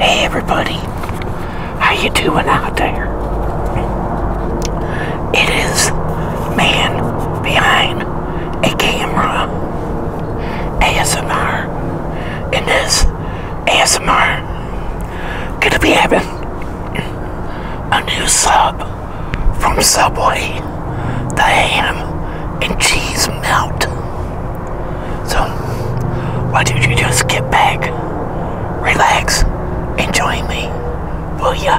Hey everybody, how you doing out there? It is man behind a camera ASMR and this ASMR gonna be having a new sub from Subway the ham and cheese melt so, why don't you just get back, relax, and join me, will ya?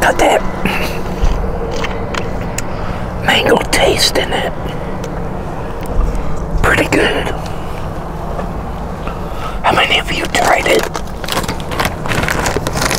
Got that mango taste in it. Pretty good. How many of you tried it?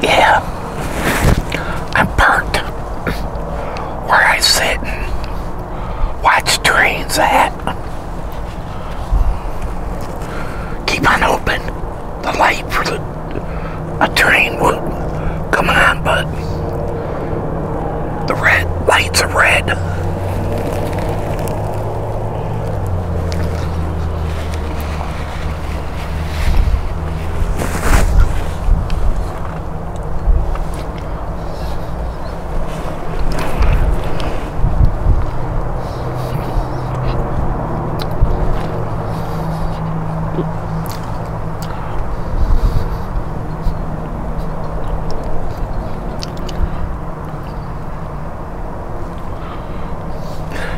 Yeah, I'm burnt where I sit and watch trains at. Keep on open the light for the a train will come on, but the red lights are red.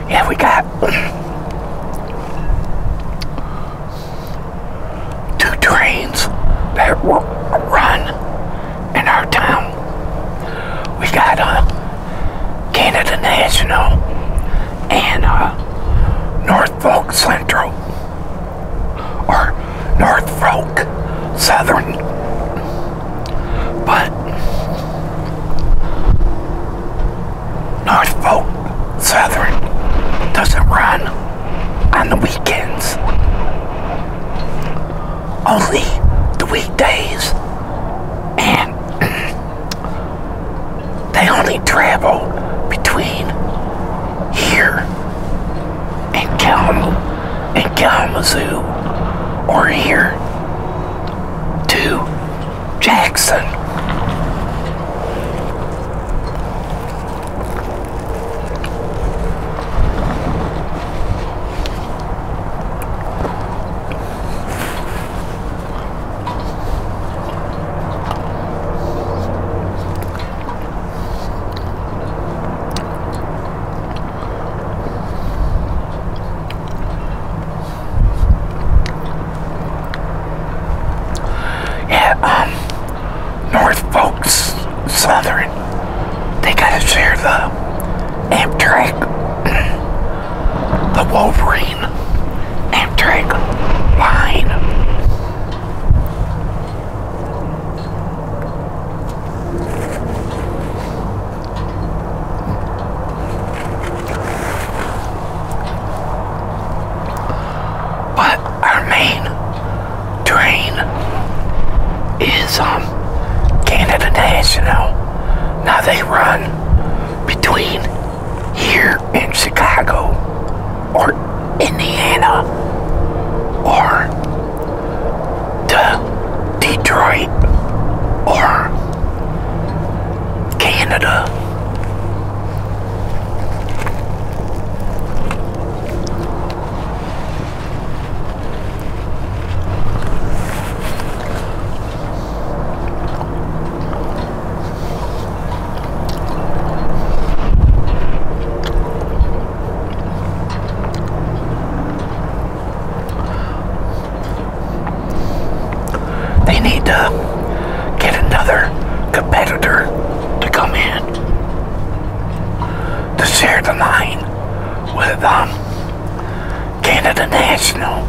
Yeah, we got two trains that run in our town. We got uh, Canada National and uh, Norfolk Central or Northfolk Southern. But Northfolk. Southern doesn't run on the weekends. Only the weekdays. And they only travel between here and, Kalamazoo or here to Jackson. Yeah, um North Folks Southern. They gotta share the Amtrak, the Wolverine Amtrak line. But our main train is um, Canada National. Now they run between here in Chicago or Indiana or to Detroit or Canada they need to get another competitor to come in to share the line with um, Canada National.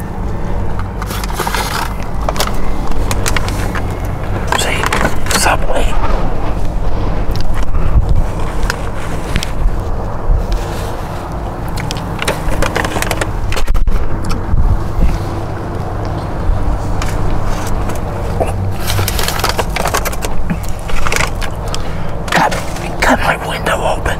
See, Subway. Got, got my window open.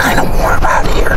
Kind of warm out here.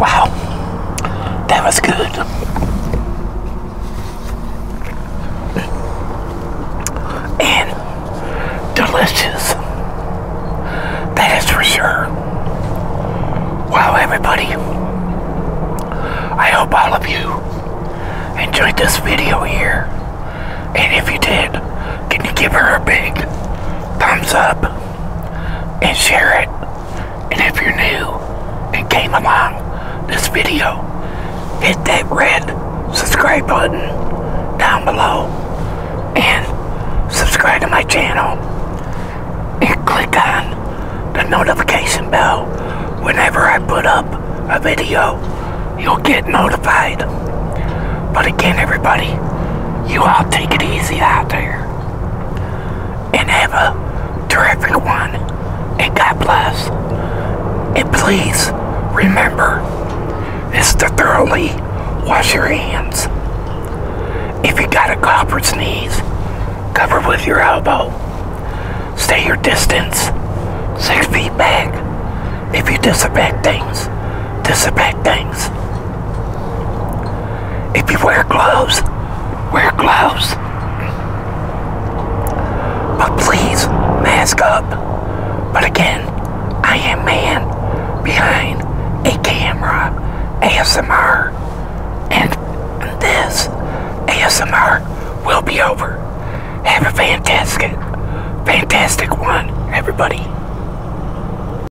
Wow, that was good. And delicious. That is for sure. Wow, everybody. I hope all of you enjoyed this video here. And if you did, can you give her a big thumbs up? and share it. And if you're new and came along this video, hit that red subscribe button down below and subscribe to my channel and click on the notification bell whenever I put up a video you'll get notified but again everybody you all take it easy out there and ever to everyone, And God bless. And please remember, is to thoroughly wash your hands. If you got a cough or sneeze, cover with your elbow. Stay your distance, six feet back. If you disinfect things, disinfect things. If you wear gloves, wear gloves. But please, mask up. But again, I am man behind a camera, ASMR, and this ASMR will be over. Have a fantastic, fantastic one, everybody.